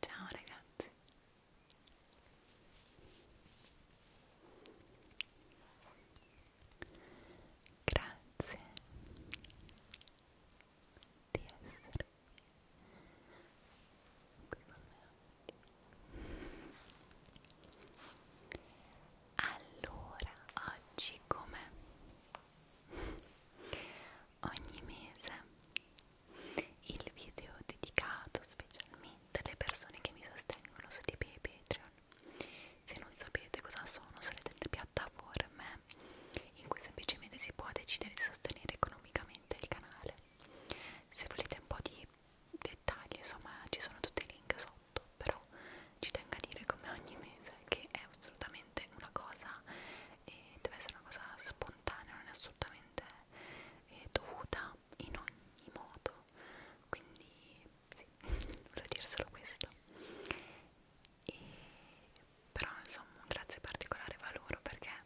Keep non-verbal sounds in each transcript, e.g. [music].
Ciao ragazzi, grazie di essere allora oggi come ogni mese il video dedicato specialmente alle persone che mi sostengono su Tipeee e Patreon se non sapete cosa sono sono delle piattaforme in cui semplicemente si può decidere di sostenere economicamente il canale se volete un po' di dettagli insomma ci sono tutti i link sotto però ci tengo a dire come ogni mese che è assolutamente una cosa e deve essere una cosa spontanea non è assolutamente eh, dovuta in ogni modo quindi sì [laughs] volevo dire solo questo e, però insomma un grazie particolare va loro perché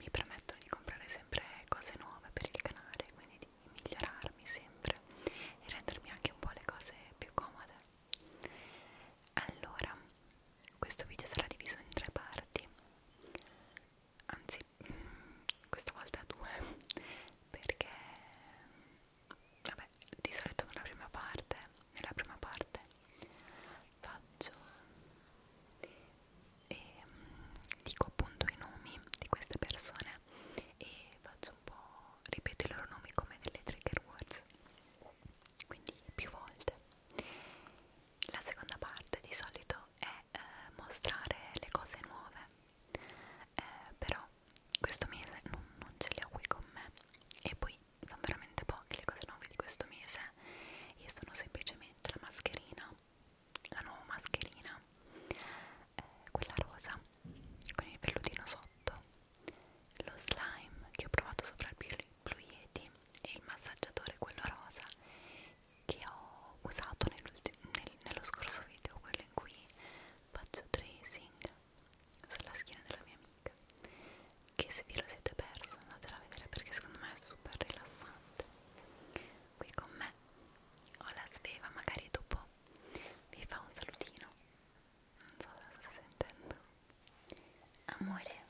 mi permettono di comprare sempre cose nuove per il canale, quindi di migliorarmi sempre e rendermi anche un po' le cose più comode. Allora, questo video sarà diviso in tre parti, anzi, mm, questa volta due, perché vabbè, di solito nella prima parte, nella prima parte faccio e mm, dico appunto i nomi di queste persone e faccio un po' ripeto i loro nomi come delle trigger words quindi più volte la seconda parte di solito è eh, mostrare le cose nuove eh, però questo mese non, non ce le ho qui con me e poi sono veramente poche le cose nuove di questo mese io sono semplicemente la mascherina la nuova mascherina eh, quella rosa con il pellutino sotto lo slime che ho provato sopra il blu yeti e il massaggiatore quello rosa che ho usato nel, nello scorso video quello in cui faccio tracing sulla schiena della mia amica che se vi lo siete perso andatela a vedere perché secondo me è super rilassante qui con me ho la sveva magari dopo vi fa un salutino non so se sta sentendo amore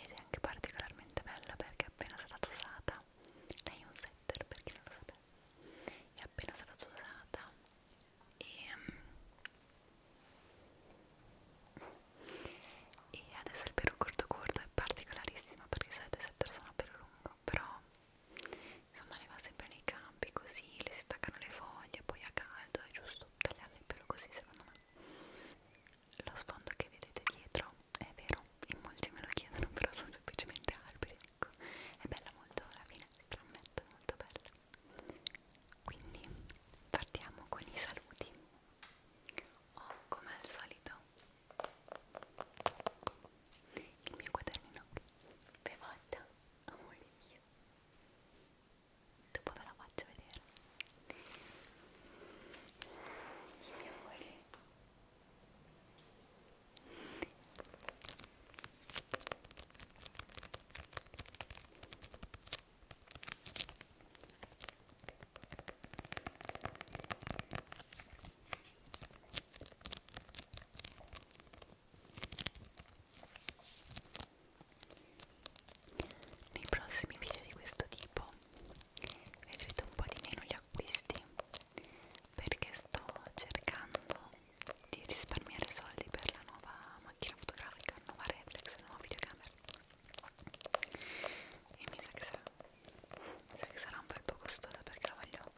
ed è anche particolarmente bella perché è appena stata usata lei è un setter per chi non lo sapeva è appena stata usata e um, e adesso il pelo corto corto è particolarissimo perché di solito i setter sono a pelo lungo però insomma ne va sempre nei campi così le si staccano le foglie poi a caldo è giusto tagliarle il pelo così secondo me lo sfondo che vedete dietro è vero in molti me lo chiedono [laughs] però sono semplicemente alberi ecco è bella molto la finestra molto bella quindi partiamo con i saluti ho oh, come al solito il mio quadernino bevata amore mio dopo ve la faccio vedere dimmi amore nei prossimi video di questo tipo vedrete un po' di meno gli acquisti perché sto cercando di risparmiare soldi per la nuova macchina fotografica, la nuova reflex, la nuova videocamera e mi sa che sarà, mi sa che sarà un bel po' costosa perché la voglio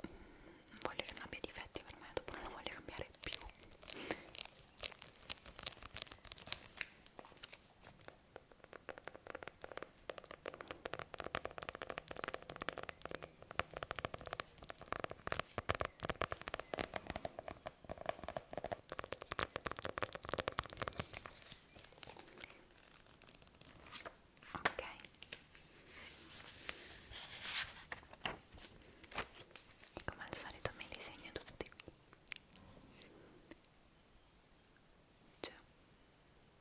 non voglio che non abbia difetti per me dopo non la voglio cambiare più ok e come al solito me li segno tutti c'è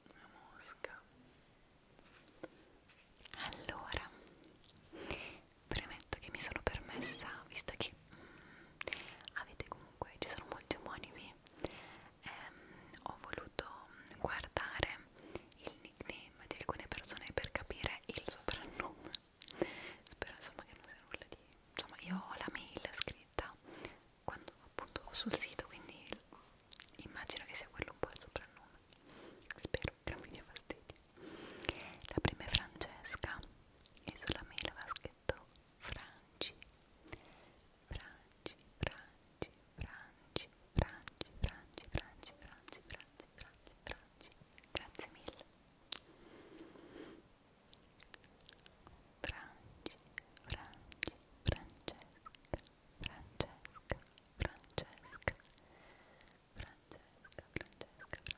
una mosca allora premetto che mi sono permessa visto che mm, avete comunque comunque ci sono molti omonimi ehm, ho voluto guardare il nickname di alcune persone per capire il soprannome spero insomma che non sia nulla di insomma io ho la mail scritta quando appunto sul sito quindi immagino che sia quello un po' il soprannome spero che non mi dia fastidio la prima è Francesca e sulla mail aveva scritto detto Franci Franci Franci Franci Franci Franci Franci Franci Franci Franci Franci Grazie mille Franci Franci Francesca Francesca Francesca Francesca Francesca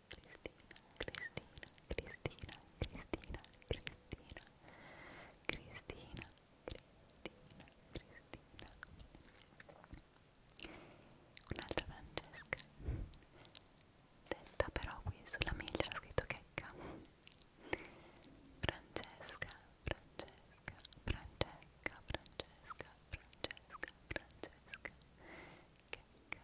Cristina un'altra Francesca detta però qui sulla mail c'era scritto checca Francesca, Francesca, Francesca, Francesca, Francesca, Francesca, Checca,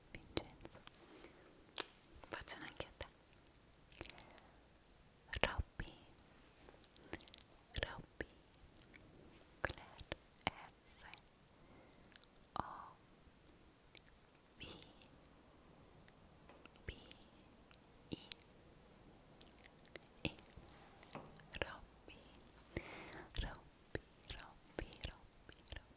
Vincenzo faccio anche a te Robby Robby Claire R O B B I E Robby Robby Robby Robby Robby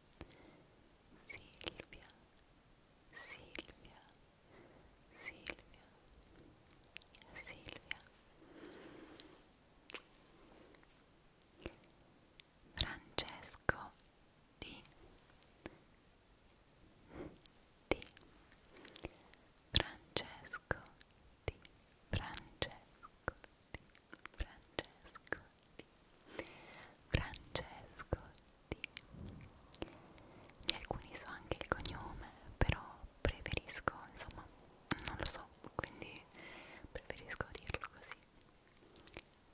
Silvia, Silvia, Silvia, Silvia. Francesco di di Francesco di Francesco di Francesco Di Francesco Di di alcuni so anche il cognome però preferisco insomma non lo so quindi preferisco dirlo così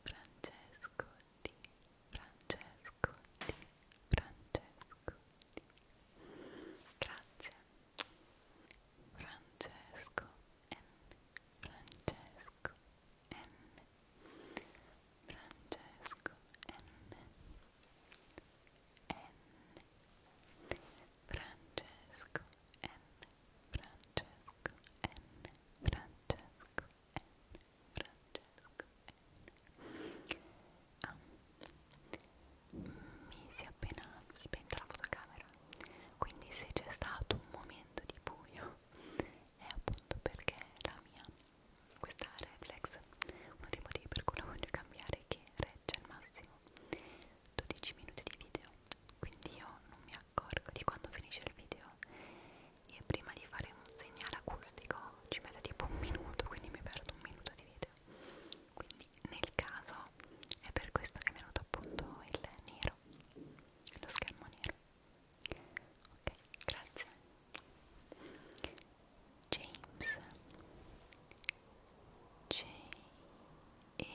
Francesco Di Francesco Di Francesco Di grazie Francesco N Francesco Francesco N Francesco N N Francesco N Francesco N Francesco N Francesco N ah. mi si è appena spenta la fotocamera quindi se c'è stato un momento di buio è appunto perché la mia, questa reflex, uno dei motivi per cui la voglio cambiare è che regge al massimo 12 minuti di video, quindi io non mi accorgo di quando finisce il video e prima di fare un segnale acustico ci mette tipo un minuto, quindi mi perdo un minuto di video. Quindi nel caso è per questo che mi è venuto appunto il nero, lo schermo nero. ok, grazie James J E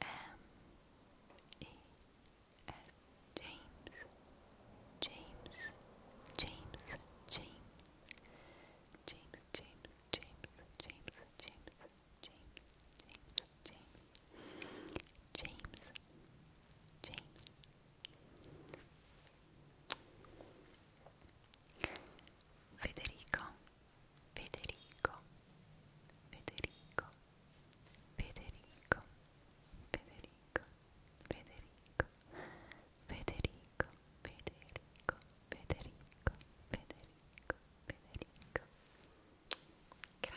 M E S James James James James James James James James James James James James, James, James. Federico, Federico, Federico, Federico, Federico, Federico, Federico, Federico, Federico, Federico, Federico. Grazie,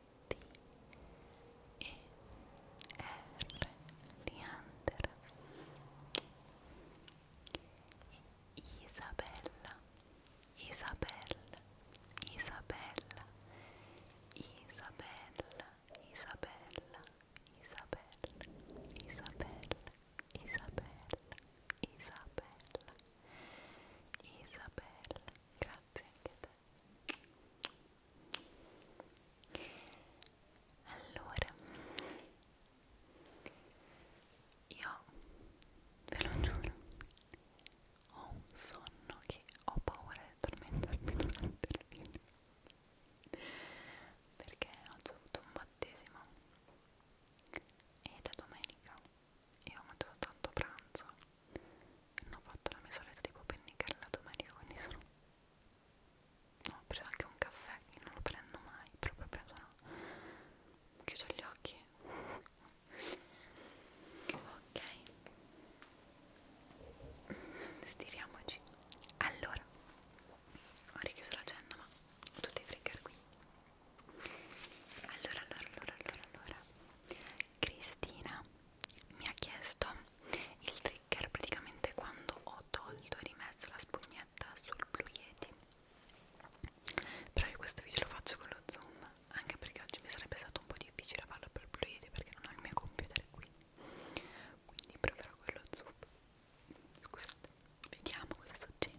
D E R Leander Isabella Isabella Isabella Isabella Isabella Isabella Isabella Isabella Isabella Isabella grazie anche te allora io ve lo giuro ho un sonno che ho paura di addormentarmi [laughs] durante il video perché oggi ho avuto un battesimo ed è domenica e ho mangiato tanto pranzo non ho fatto la mia solita tipo pennicare la domenica quindi sono no, ho preso anche un caffè che non lo prendo mai proprio preso no chiudo gli occhi ok stiriamoci allora ho richiuso l'agenda ma ho tutti i trigger qui allora allora allora allora allora Cristina mi ha chiesto il trigger praticamente quando ho tolto e rimesso la spugnetta sul Blue Yeti però io questo video lo faccio con lo zoom anche perché oggi mi sarebbe stato un po' difficile farlo per Blue Yeti perché non ho il mio computer qui quindi proverò con lo zoom scusate vediamo cosa succede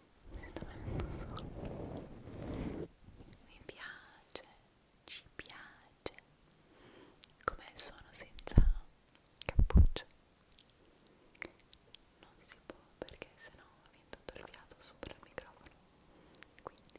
mi sta venendo solo mi piace ci piace com'è il suono senza cappuccio non si può perché sennò viene tutto il fiato sopra il microfono quindi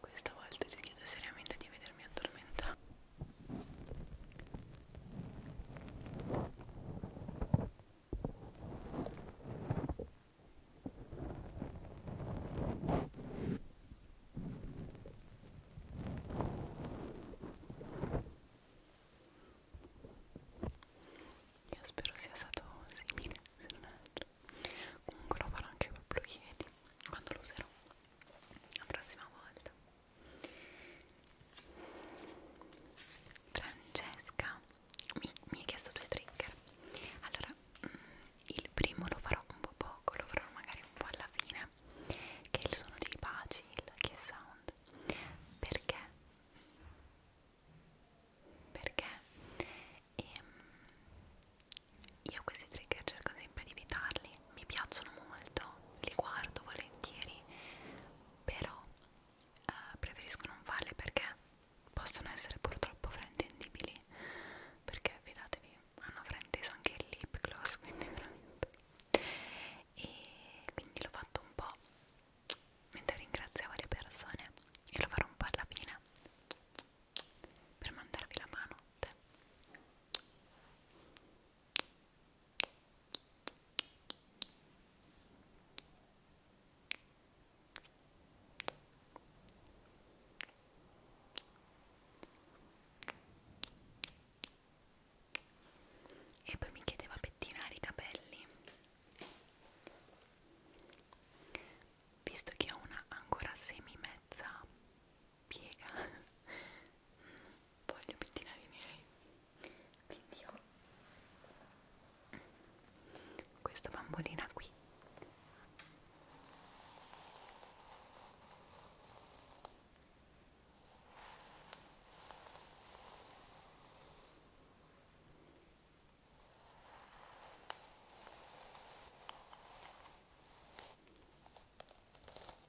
Questa volta ti chiedo seriamente di vedermi addormentare io spero sia stato simile, se non altro. Comunque lo farò anche col Blue Yeti quando lo userò la prossima volta. Francesca mi, mi ha chiesto due trigger allora mm, il primo lo farò un po' poco lo farò magari un po' alla fine che è il suono dei baci il che sound perché perché ehm, io questi trigger cerco sempre di evitarli mi piacciono molto, li guardo volentieri, però eh, preferisco non farli perché possono essere purtroppo fraintendibili, perché fidatevi, hanno frainteso anche il lip gloss, [laughs] quindi veramente. E quindi l'ho fatto un po' mentre ringraziavo le persone e lo farò un po' alla fine per mandarvi la mano. E poi mi chiedeva pettinare i capelli. Visto che ho una ancora semi mezza piega [laughs] mm, voglio pettinare i miei quindi ho questa bambolina qui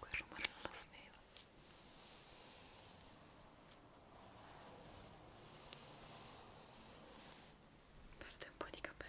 Quel rumore non lo svevo. Perde un po' di capelli.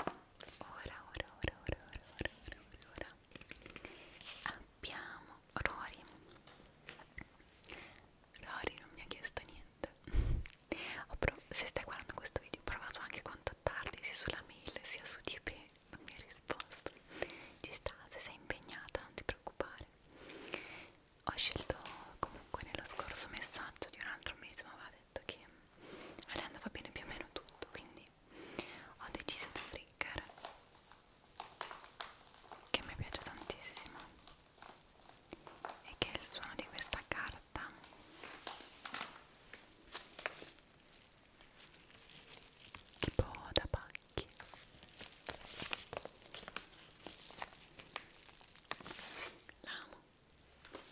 ora, ora, ora, ora, ora, ora, ora, ora, ora. abbiamo Rory Rory non mi ha chiesto niente se stai guardando questo video ho provato anche a contattarti sia sulla mail sia su DP non mi ha risposto ci sta, se sei impegnata non ti preoccupare ho scelto comunque nello scorso messaggio di un altro mese ma va ha detto che a lei andava bene più o meno tutto quindi ho deciso di trigger che mi piace tantissimo e che è il suono di questa carta tipo da pacchi l'amo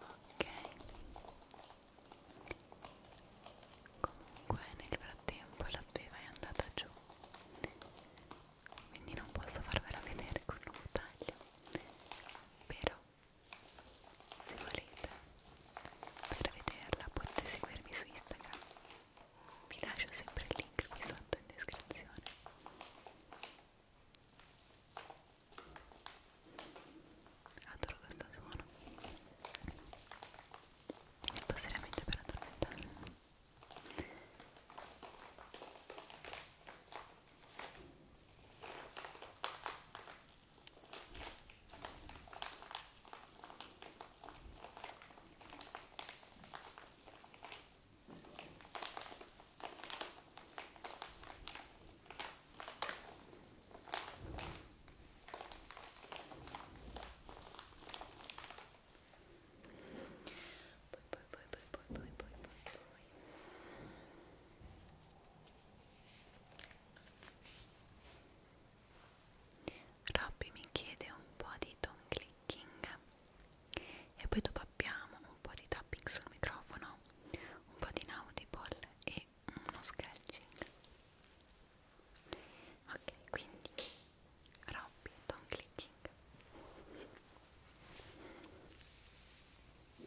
Ok, comunque nel frattempo la sveva è andata giù, quindi non posso farvela vedere con un taglio, però se volete per vederla potete seguirmi su Instagram vi lascio sempre il link qui sotto in descrizione adoro questo suono sto seriamente per addormentare Ecco poi, poi, poi, poi, poi, poi, poi, poi, poi. Robby mi chiede un po' di Don Clean clicking e poi dopo abbiamo un po' di tapping sul microfono un po' di inaudible e uno sketching ok quindi Robby Don Clicking ok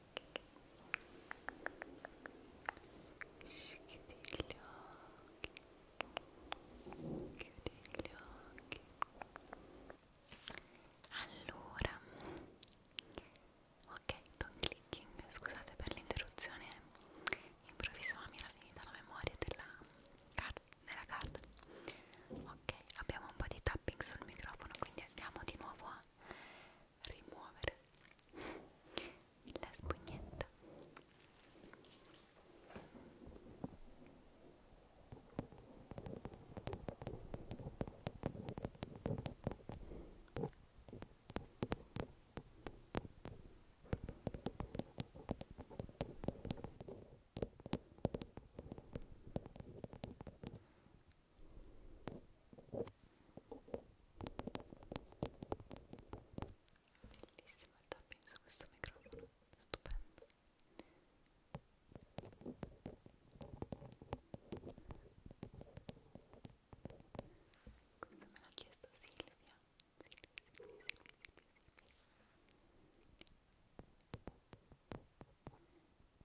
Chiudi gli occhi. Chiudi gli occhi. Allora, ok, don clicking, scusate per l'interruzione improvvisa, ma mi era finita la memoria della, car della carta. Ok, abbiamo un po' di tapping sul microfono, quindi andiamo di nuovo a rimuovere la spugnetta Bellissimo il tapping su questo microfono, stupendo. Quindi me l'ha chiesto Silvia. Silvia, Silvia, Silvia, Silvia, Silvia.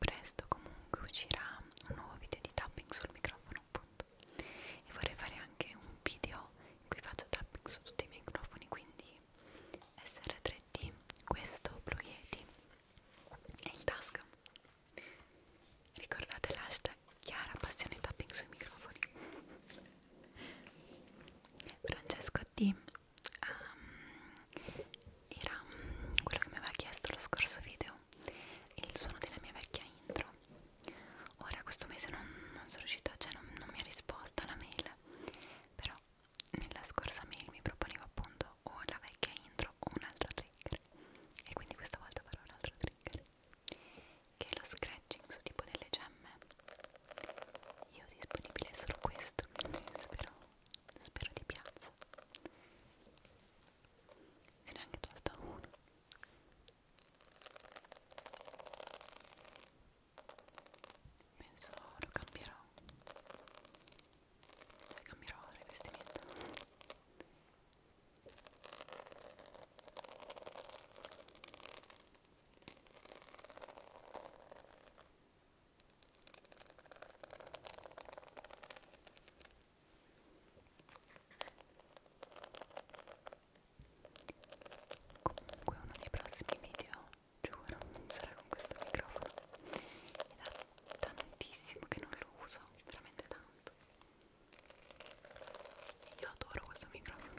Presto comunque uscirà un nuovo video di tapping sul microfono appunto e vorrei fare anche un video in cui faccio tapping su tutti i microfoni quindi SR3D questo Blue Yeti è in tasca ricordate l'hashtag Chiara passione tapping sui microfoni Francesco D um, era um, quello che mi aveva chiesto lo scorso video il suono della mia vecchia intro ora questo mese non, non sono riuscita, cioè non, non mi ha risposto alla mail però nella scorsa mail mi proponeva appunto o la vecchia intro o un altro trigger e quindi questa volta farò un altro trigger che è lo scratching su tipo delle gemme io ho disponibile solo questo spero, spero ti piaccia se ne è anche tolto uno penso lo cambierò cambierò il vestimento comunque uno dei prossimi video giuro sarà con questo microfono è da tantissimo che non lo uso veramente tanto io adoro questo microfono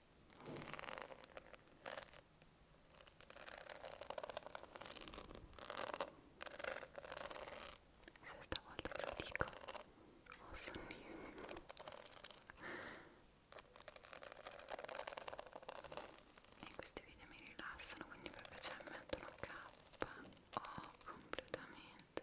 Se stavolta ve lo dico, ho sonnissimo. E questi video mi rilassano, quindi per piacere mettono K o oh, completamente.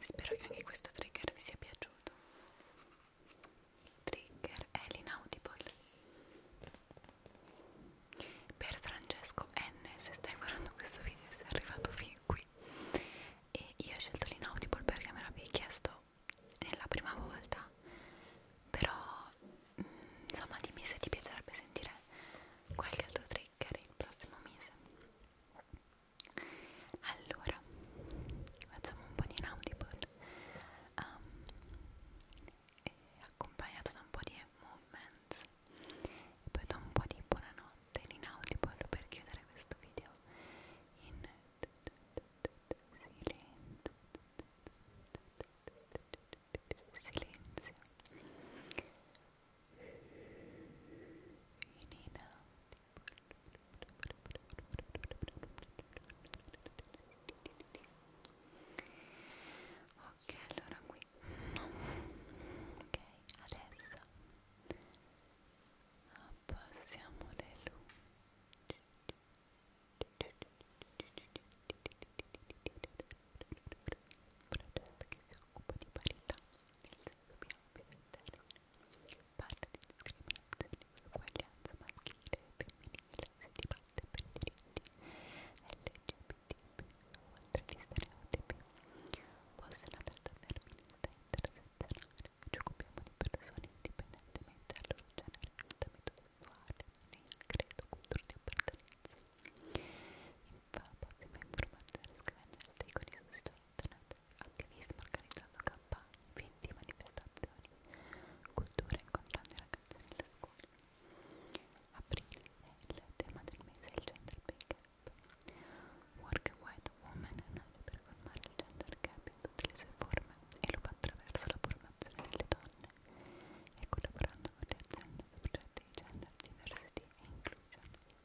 Spero che anche questo trigger vi sia piaciuto. Trigger è l'inaudible. Per Francesco N, se stai guardando questo video e sei arrivato fin qui. E io ho scelto l'inaudible perché me l'avevi chiesto nella prima volta. Però, mh, mm, insomma, dimmi se ti piacerebbe sentire qualche altro trigger il prossimo mese allora facciamo un po' di inaudible um, accompagnato da un po' di movements e poi da un po' di buonanotte in inaudible per chiudere questo video in silenzio silenzio in in out ok allora qui ok adesso abbassiamo le luci Progetto che si occupa di parità dobbiamo presentare parte di discriminazione, uguaglianza maschile e femminile, si dibatte per i diritti LGBT, oltre agli stereotipi, possono determinare intersezionale, ci occupiamo di persone indipendentemente dal loro genere, orientamento sessuale, né credo, cultura di appartenenza. In fa prossima informazione scrivendo gli articoli sul sito internet, attivismo organizzando campagne, eventi, manifestazioni, cultura incontrando i ragazzi nelle scuole. Aprile è il tema del mese il gender pay gap. Work a White Woman nasce per colmare il gender gap in tutte le sue forme e lo fa attraverso la formazione delle donne e collaborando con le aziende soggetti di gender diversity e inclusion.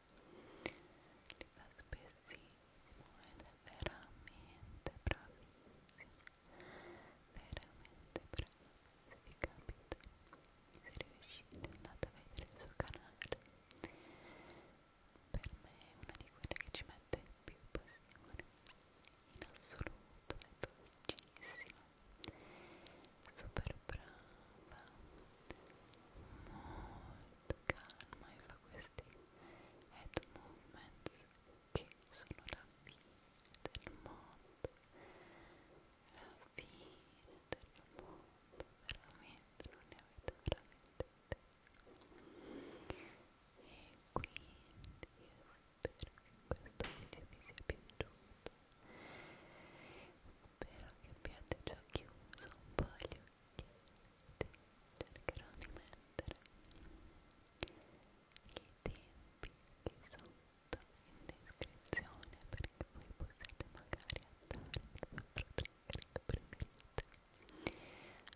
li fa spessissimo ed è veramente bravissimo veramente bravo se vi capita se riuscite andate a vedere il suo canale per me è una di quelle che ci mette più passione in assoluto è dolcissima super brava molto calma e fa questi head movements che sono la fine del mondo la fine del mondo veramente non ne avete veramente e quindi io spero che questo video vi sia piaciuto spero che abbiate già chiuso un po' gli occhietti cercherò di mettere i tempi qui sotto in descrizione perché voi possiate magari andare nel vostro trigger che preferite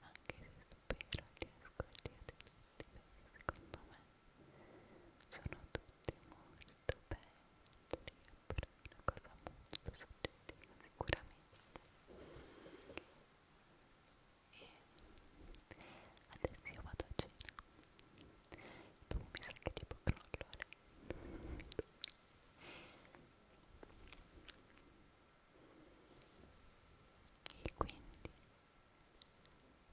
anche se spero li ascoltiate tutti perché secondo me sono tutti molto belli sempre una cosa molto soggettiva sicuramente e adesso io vado a cena tu mi sa che tipo crollo e quindi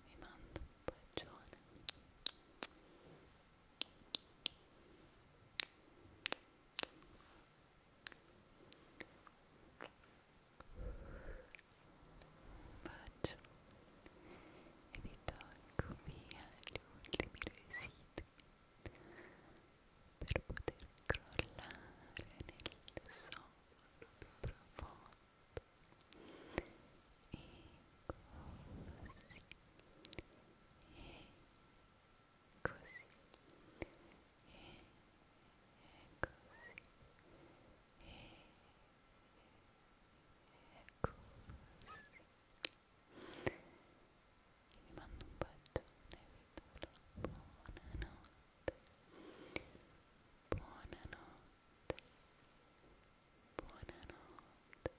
vi mando un bacione Faccio e vi tolgo via gli ultimi residui per poter crollare nel sonno più profondo e così e così e così e così vi mando un bacione vi do buonanotte buonanotte buonanotte